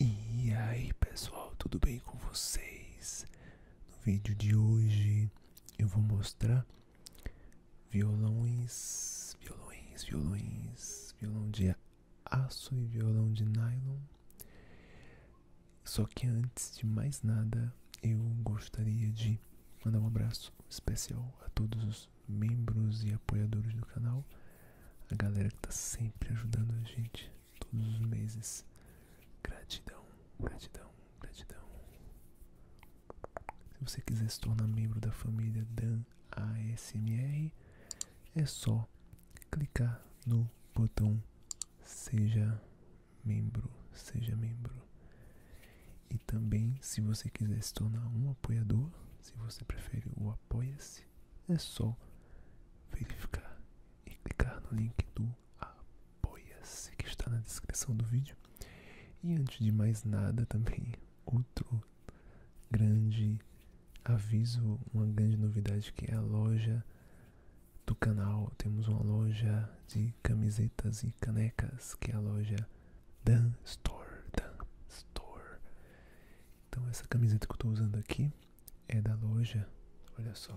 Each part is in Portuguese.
E aí pessoal, tudo bem com vocês? No vídeo de hoje eu vou mostrar violões, violões, violões, violão de aço e violão de nylon só que antes de mais nada, eu gostaria de mandar um abraço especial a todos os membros e apoiadores do canal, a galera que tá sempre ajudando a gente todos os meses. Gratidão, gratidão, gratidão. Se você quiser se tornar membro da família Dan ASMR, é só clicar no botão Seja membro, seja membro. E também, se você quiser se tornar um apoiador, se você prefere o Apoia-se, é só verificar e clicar no link do Apoia-se que está na descrição do vídeo. E antes de mais nada, também outro grande aviso, uma grande novidade que é a loja do canal temos uma loja de camisetas e canecas, que é a loja Dan Store. Então essa camiseta que eu estou usando aqui é da loja, olha só.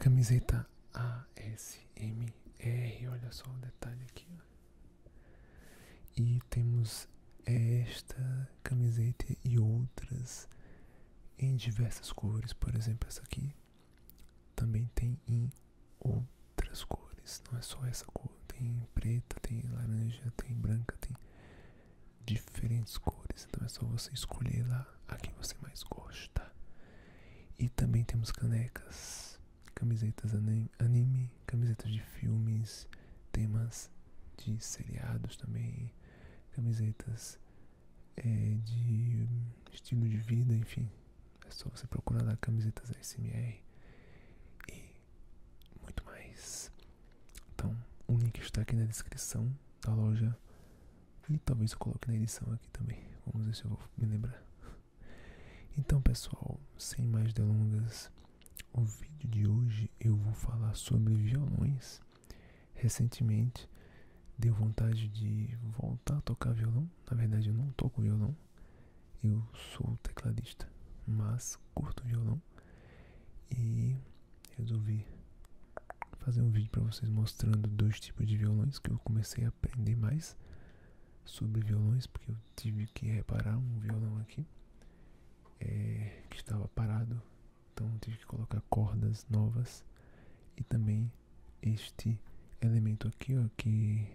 Camiseta ASMR, olha só o detalhe aqui, e temos esta camiseta e outras em diversas cores, por exemplo, essa aqui também tem em outras cores, não é só essa cor, tem preta, tem laranja, tem branca, tem diferentes cores, então é só você escolher lá a que você mais gosta. E também temos canecas camisetas anime, camisetas de filmes, temas de seriados também, camisetas é, de estilo de vida, enfim. É só você procurar lá camisetas ASMR e muito mais. Então, o link está aqui na descrição da loja e talvez eu coloque na edição aqui também. Vamos ver se eu vou me lembrar. Então, pessoal, sem mais delongas, o vídeo de hoje eu vou falar sobre violões. Recentemente deu vontade de voltar a tocar violão. Na verdade, eu não toco violão, eu sou tecladista, mas curto violão e resolvi fazer um vídeo para vocês mostrando dois tipos de violões que eu comecei a aprender mais sobre violões porque tive que reparar um violão aqui é, que estava parado, então tive que colocar cordas novas e também este elemento aqui, ó, que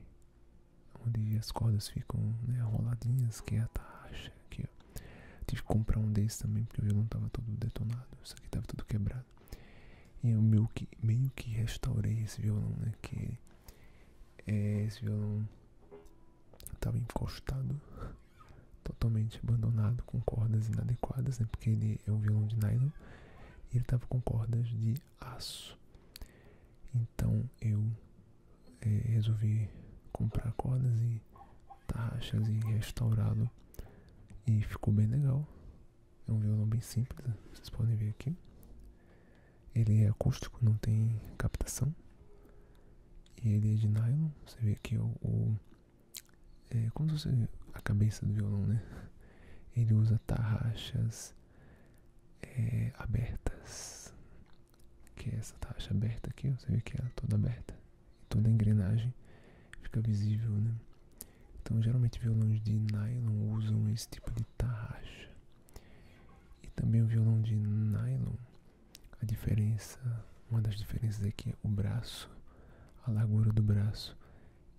onde as cordas ficam né, roladinhas, que é a taxa aqui, Tive que comprar um desses também porque o violão estava todo detonado, isso aqui estava tudo quebrado. E eu meio que, meio que restaurei esse violão, né? É esse violão estava encostado, totalmente abandonado, com cordas inadequadas, né? porque ele é um violão de nylon e ele estava com cordas de aço. Então eu eh, resolvi comprar cordas e taxas e restaurá-lo e ficou bem legal. É um violão bem simples, vocês podem ver aqui. Ele é acústico, não tem captação. E ele é de nylon. Você vê aqui o. é como se fosse a cabeça do violão, né? Ele usa tarraxas é, abertas. Que é essa tarraxa aberta aqui, você vê que ela é toda aberta. E toda a engrenagem fica visível, né? Então, geralmente violões de nylon usam esse tipo de tarraxa. E também o violão de nylon. A diferença, uma das diferenças é que o braço, a largura do braço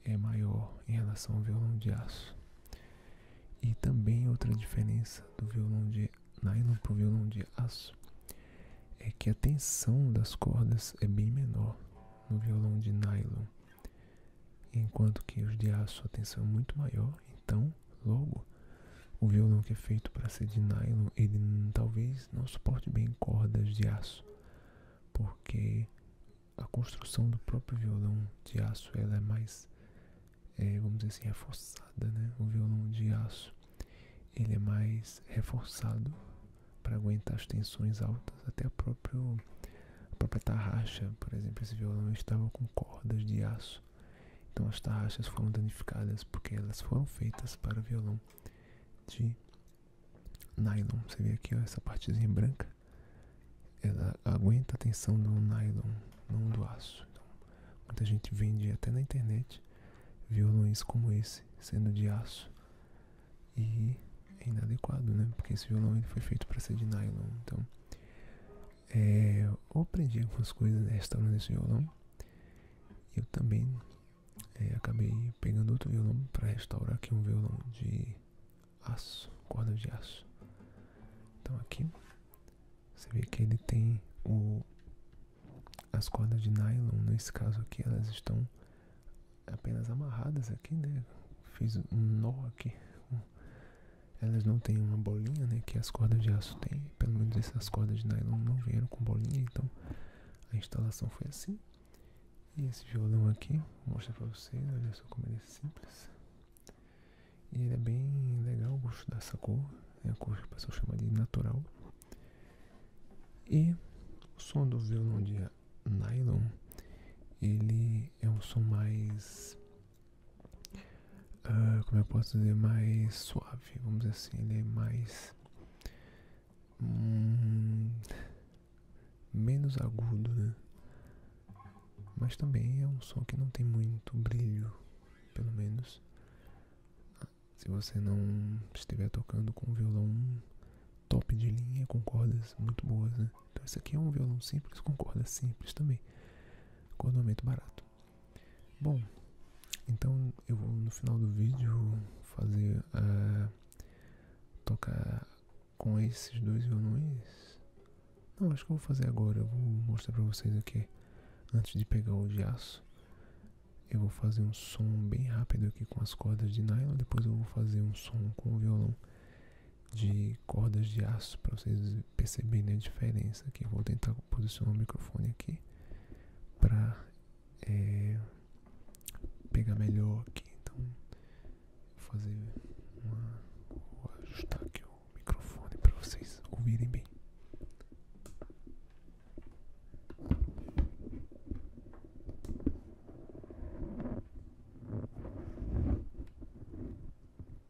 é maior em relação ao violão de aço. E também outra diferença do violão de nylon para o violão de aço é que a tensão das cordas é bem menor no violão de nylon, enquanto que os de aço a tensão é muito maior, então Logo, o violão que é feito para ser de nylon, ele talvez não suporte bem cordas de aço, porque a construção do próprio violão de aço ela é mais, é, vamos dizer assim, reforçada, né? O violão de aço ele é mais reforçado para aguentar as tensões altas, até a própria, a própria tarraxa, por exemplo, esse violão estava com cordas de aço então as tarraxas foram danificadas porque elas foram feitas para violão de nylon. Você vê aqui essa partezinha branca, ela aguenta a tensão do nylon, não do aço. Então, muita gente vende até na internet violões como esse, sendo de aço. E é inadequado, né? Porque esse violão ele foi feito para ser de nylon. Então, é, eu aprendi algumas coisas restaurando esse violão. Eu também é, acabei pegando outro violão para restaurar aqui um violão de aço, corda de aço. Então aqui você vê que ele tem as cordas de nylon, nesse caso aqui, elas estão apenas amarradas aqui, né? Fiz um nó aqui elas não têm uma bolinha, né? Que as cordas de aço têm. Pelo menos essas cordas de nylon não vieram com bolinha, então a instalação foi assim. E esse violão aqui, vou mostrar pra vocês, olha só como ele é simples. E ele é bem legal, o gosto dessa cor, é a cor que o pessoal chama de natural. E o som do violão de nylon, ele é um som mais ah, como eu posso dizer, mais suave, vamos dizer assim, ele é mais hum, menos agudo, né? Mas também é um som que não tem muito brilho, pelo menos se você não estiver tocando com um violão top de linha, com cordas muito boas, né? Então esse aqui é um violão simples com cordas simples também. Condomínio barato. Bom, então eu vou no final do vídeo fazer uh, tocar com esses dois violões. Não, acho que eu vou fazer agora. Eu vou mostrar pra vocês aqui. Antes de pegar o de aço, eu vou fazer um som bem rápido aqui com as cordas de nylon. Depois eu vou fazer um som com o violão de cordas de aço para vocês perceberem a diferença aqui. vou tentar posicionar o microfone aqui para é, pegar melhor aqui. Então, vou fazer ajustar aqui o microfone para vocês ouvirem bem.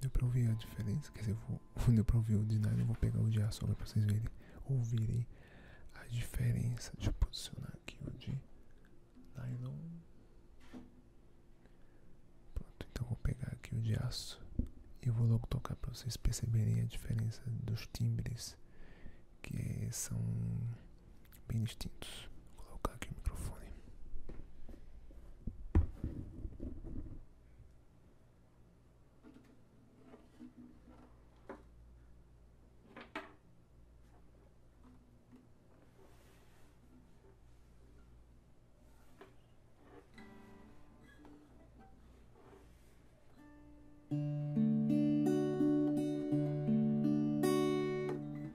deu para ouvir a diferença. Quer dizer, eu vou, deu pra ouvir o de nylon. vou pegar o de aço para vocês ouvirem a diferença. Deixa eu posicionar aqui o de nylon. Pronto, então vou pegar aqui o de aço e vou logo tocar para vocês perceberem a diferença dos timbres que são bem distintos. colocar aqui o microfone.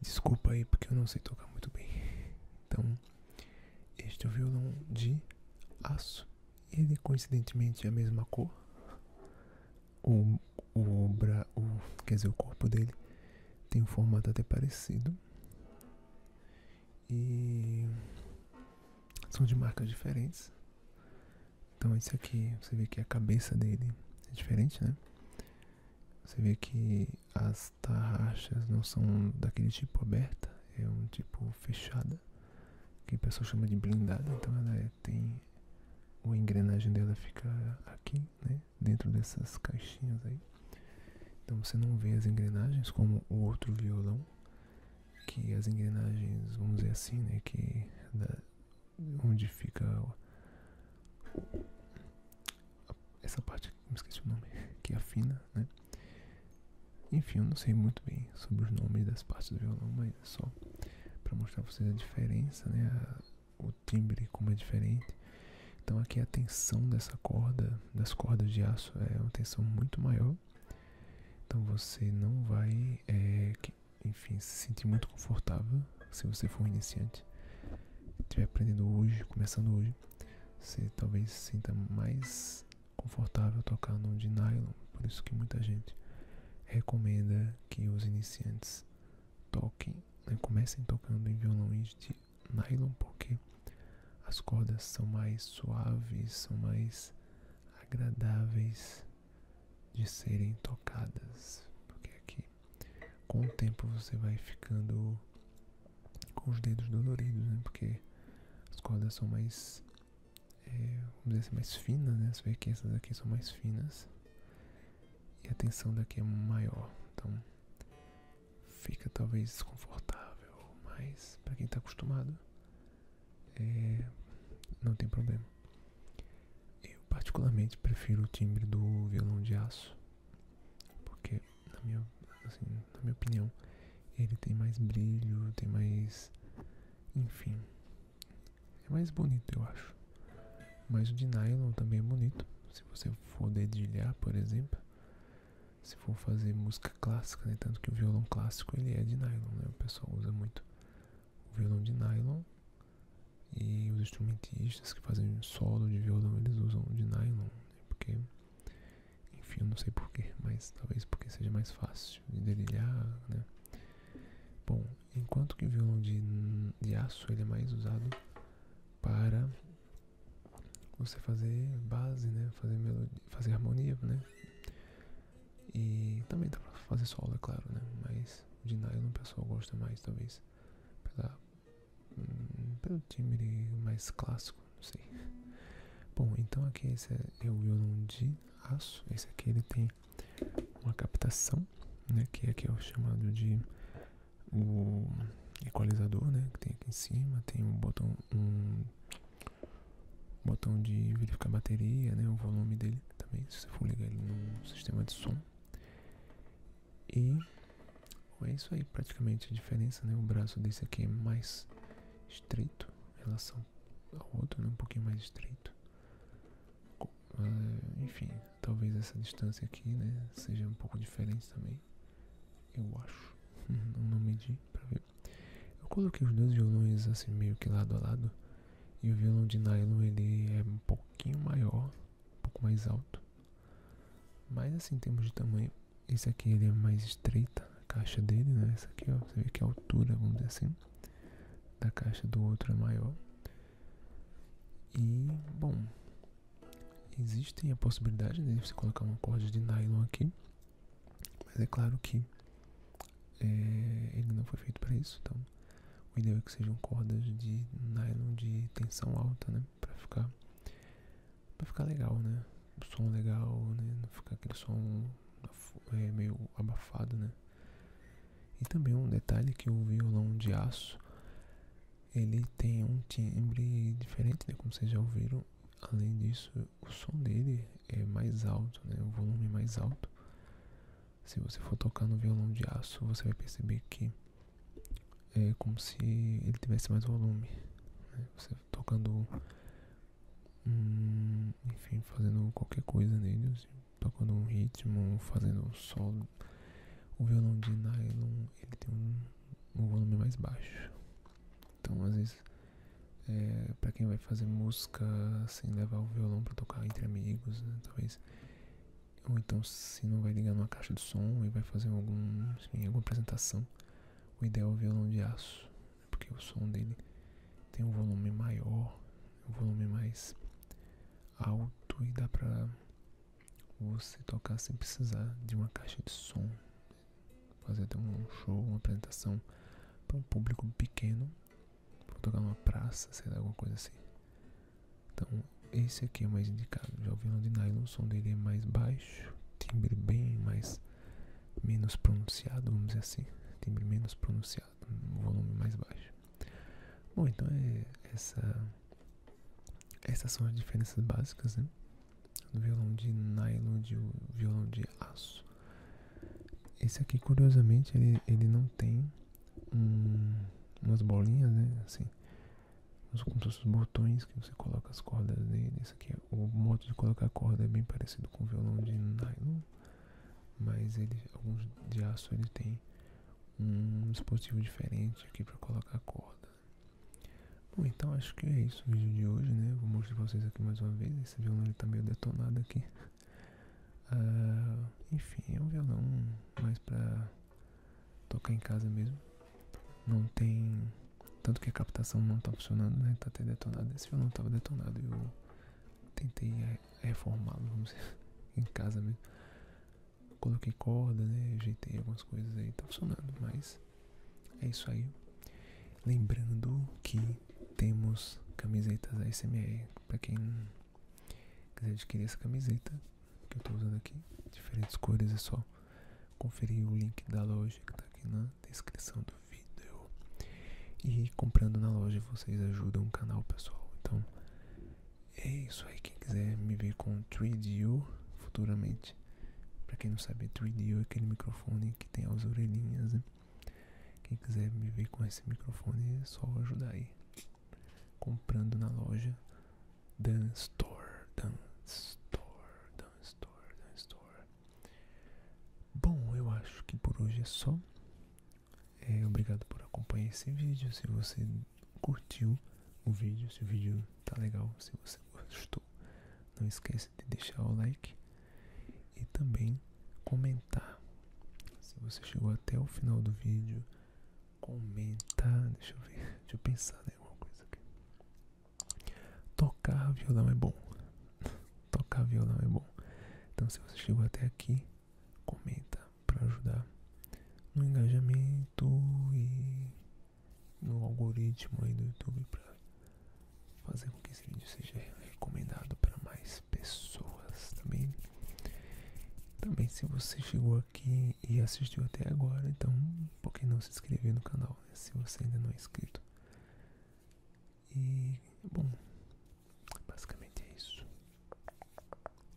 Desculpa aí porque eu não sei tocar muito bem. Então, este é o violão de aço. Ele coincidentemente é a mesma cor. O, o, bra, o quer dizer, o corpo dele tem um formato até parecido e são de marcas diferentes. Então esse aqui, você vê que a cabeça dele é diferente, né? Você vê que as tarraxas não são daquele tipo aberta, é um tipo fechada, que o pessoal chama de blindada, então ela é, tem a engrenagem dela fica aqui, né? Dentro dessas caixinhas aí. Então você não vê as engrenagens como o outro violão, que as engrenagens, vamos dizer assim, né? Que da, onde fica essa parte, me esqueci o nome, que afina, né? Enfim, eu não sei muito bem sobre os nomes das partes do violão, mas é só para mostrar para vocês a diferença, né? o timbre como é diferente. Então aqui a tensão dessa corda, das cordas de aço é uma tensão muito maior. Então você não vai, é, enfim, se sentir muito confortável se você for iniciante. Estiver aprendendo hoje, começando hoje, você talvez se sinta mais confortável tocar num de nylon. Por isso que muita gente recomenda que os iniciantes toquem, né, comecem tocando em violões de nylon, porque as cordas são mais suaves, são mais agradáveis de serem tocadas, porque aqui com o tempo você vai ficando com os dedos doloridos, né? Porque as cordas são mais, é, dizer assim, mais finas, né? Você vê que essas aqui são mais finas e a tensão daqui é maior, então fica talvez desconfortável, mas para quem está acostumado é, não tem problema. Eu particularmente prefiro o timbre do violão de aço, porque na minha assim, opinião ele tem mais brilho, tem mais, enfim, é mais bonito eu acho. Mas o de nylon também é bonito. Se você for dedilhar, por exemplo, se for fazer música clássica, né? tanto que o violão clássico ele é de nylon, né? o pessoal usa muito o violão de nylon e os instrumentistas que fazem solo de violão eles usam de nylon, né? porque enfim, eu não sei porquê, mas talvez porque seja mais fácil de dedilhar, né? Bom, enquanto que o violão de, de aço ele é mais usado para você fazer base, né? Fazer melodia, fazer harmonia, né? E também dá para fazer solo, é claro, né? Mas de nylon o pessoal gosta mais, talvez. Hum, pelo timbre mais clássico, não sei. Bom, então aqui esse é o violão de aço. Esse aqui ele tem uma captação, né? Que aqui é, é o chamado de o equalizador, né, que tem aqui em cima, tem um botão, um botão de verificar bateria, né, o volume dele também, se você for ligar ele no sistema de som. E é isso aí, praticamente a diferença, né, o braço desse aqui é mais estreito em relação ao outro, né, um pouquinho mais estreito, ah, enfim, talvez essa distância aqui né, seja um pouco diferente também. Eu acho. Não, não medi pra ver. Eu coloquei os dois violões assim meio que lado a lado. E o violão de nylon ele é um pouquinho maior, um pouco mais alto. Mas assim em termos de tamanho, esse aqui ele é mais estreita, a caixa dele, né? Essa aqui ó, você vê que a altura, vamos dizer assim, da caixa do outro é maior. E, bom, existe a possibilidade de você colocar uma corda de nylon aqui, mas é claro que é, ele não foi feito para isso, então o ideal é que sejam cordas de nylon de tensão alta, né, para ficar para ficar legal, né, o som legal, né, não ficar aquele som é, meio abafado, né. E também um detalhe que o violão de aço ele tem um timbre diferente, né? Como vocês já ouviram. Além disso, o som dele é mais alto, né? O volume é mais alto. Se você for tocar no violão de aço, você vai perceber que é como se ele tivesse mais volume. Né? Você tocando, enfim, fazendo qualquer coisa nele, assim, tocando um ritmo, fazendo um solo o violão de nylon ele tem um, volume mais baixo. Então às vezes é, para quem vai fazer música sem levar o violão para tocar entre amigos, né, talvez ou então se não vai ligar numa caixa de som e vai fazer algum, alguma apresentação, o ideal é o violão de aço, né, porque o som dele tem um volume maior, um volume mais alto e dá para você tocar sem precisar de uma caixa de som, fazer até um show, uma apresentação para um público pequeno, para tocar numa praça, sei lá, alguma coisa assim. Então, esse aqui é o mais indicado. Já ouvi de nylon, o som dele é mais baixo, timbre bem mais menos pronunciado, vamos dizer assim, timbre menos pronunciado, volume mais baixo. Bom, então é essa, essas são as diferenças básicas, né? Do violão de nylon de violão de aço. Esse aqui, curiosamente, ele, ele não tem um, umas bolinhas, né? Assim, os botões que você coloca as cordas nele. Esse aqui, é, o modo de colocar a corda é bem parecido com o violão de nylon, mas ele, alguns de aço ele tem um dispositivo diferente aqui para colocar corda. Bom, então acho que é isso o vídeo de hoje, né? Vou mostrar pra vocês aqui mais uma vez. Esse violão ele tá meio detonado aqui. Ah, enfim, é um violão mais pra tocar em casa mesmo. Não tem... Tanto que a captação não tá funcionando, né? Tá até detonado. Esse violão tava detonado e eu tentei é, reformá-lo, vamos dizer, em casa mesmo coloquei corda, né? Ajeitei algumas coisas aí, tá funcionando, mas é isso aí. Lembrando que temos camisetas ASMR para quem quiser adquirir essa camiseta que eu tô usando aqui, diferentes cores, é só conferir o link da loja que tá aqui na descrição do vídeo. E comprando na loja vocês ajudam o canal pessoal. Então é isso aí. Quem quiser me ver com 3DU futuramente. Pra quem não sabe, 3DU é aquele microfone que tem as orelhinhas, né? Quem quiser me ver com esse microfone é só ajudar aí. Comprando na loja Dan Store, Dan Store, Dan Store, Dan Store. Bom, eu acho que por hoje é só. É, obrigado por acompanhar esse vídeo. Se você curtiu o vídeo, se o vídeo tá legal, se você gostou, não esquece de deixar o like e também comentar. Se você chegou até o final do vídeo, comentar, deixa eu ver, deixa eu pensar em né, alguma coisa aqui. Tocar violão é bom. Tocar violão é bom. Então se você chegou até aqui, comenta para ajudar no engajamento e no algoritmo aí do YouTube para fazer com que esse vídeo seja recomendado para mais pessoas também. Também se você chegou aqui e assistiu até agora, então por que não se inscrever no canal, né, se você ainda não é inscrito. E bom, basicamente é isso.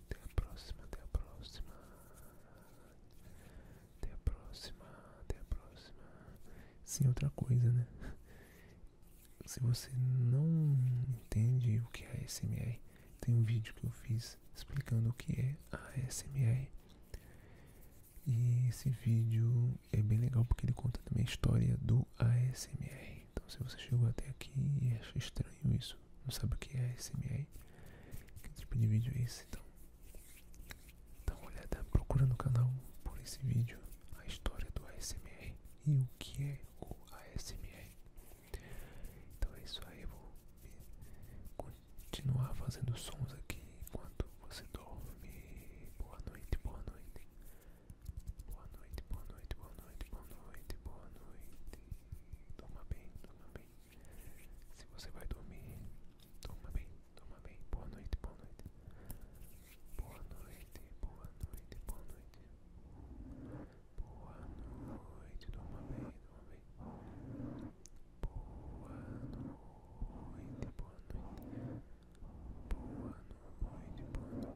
Até a próxima, até a próxima. Até a próxima, até a próxima. Sem outra coisa, né? Se você não entende o que é ASMR, tem um vídeo que eu fiz explicando o que é ASMR. E esse vídeo é bem legal porque ele conta também a história do ASMR. Então, se você chegou até aqui e acha estranho isso, não sabe o que é SMR? Que tipo de vídeo é esse? Então, dá uma olhada, procura no canal por esse vídeo a história do ASMR e o que é o ASMR. Então é isso aí, vou continuar fazendo sons aqui enquanto você dorme. Boa noite, boa noite. Boa noite, boa noite, boa noite, boa noite, boa noite. Toma bem, se você vai dormir, durma bem, durma bem. Boa noite, boa noite. Boa noite, boa noite, boa noite. Boa noite, durma bem, durma bem. Boa noite, boa noite. Boa noite, boa noite.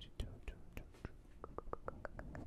Tchau, tchau, tchau, tchau.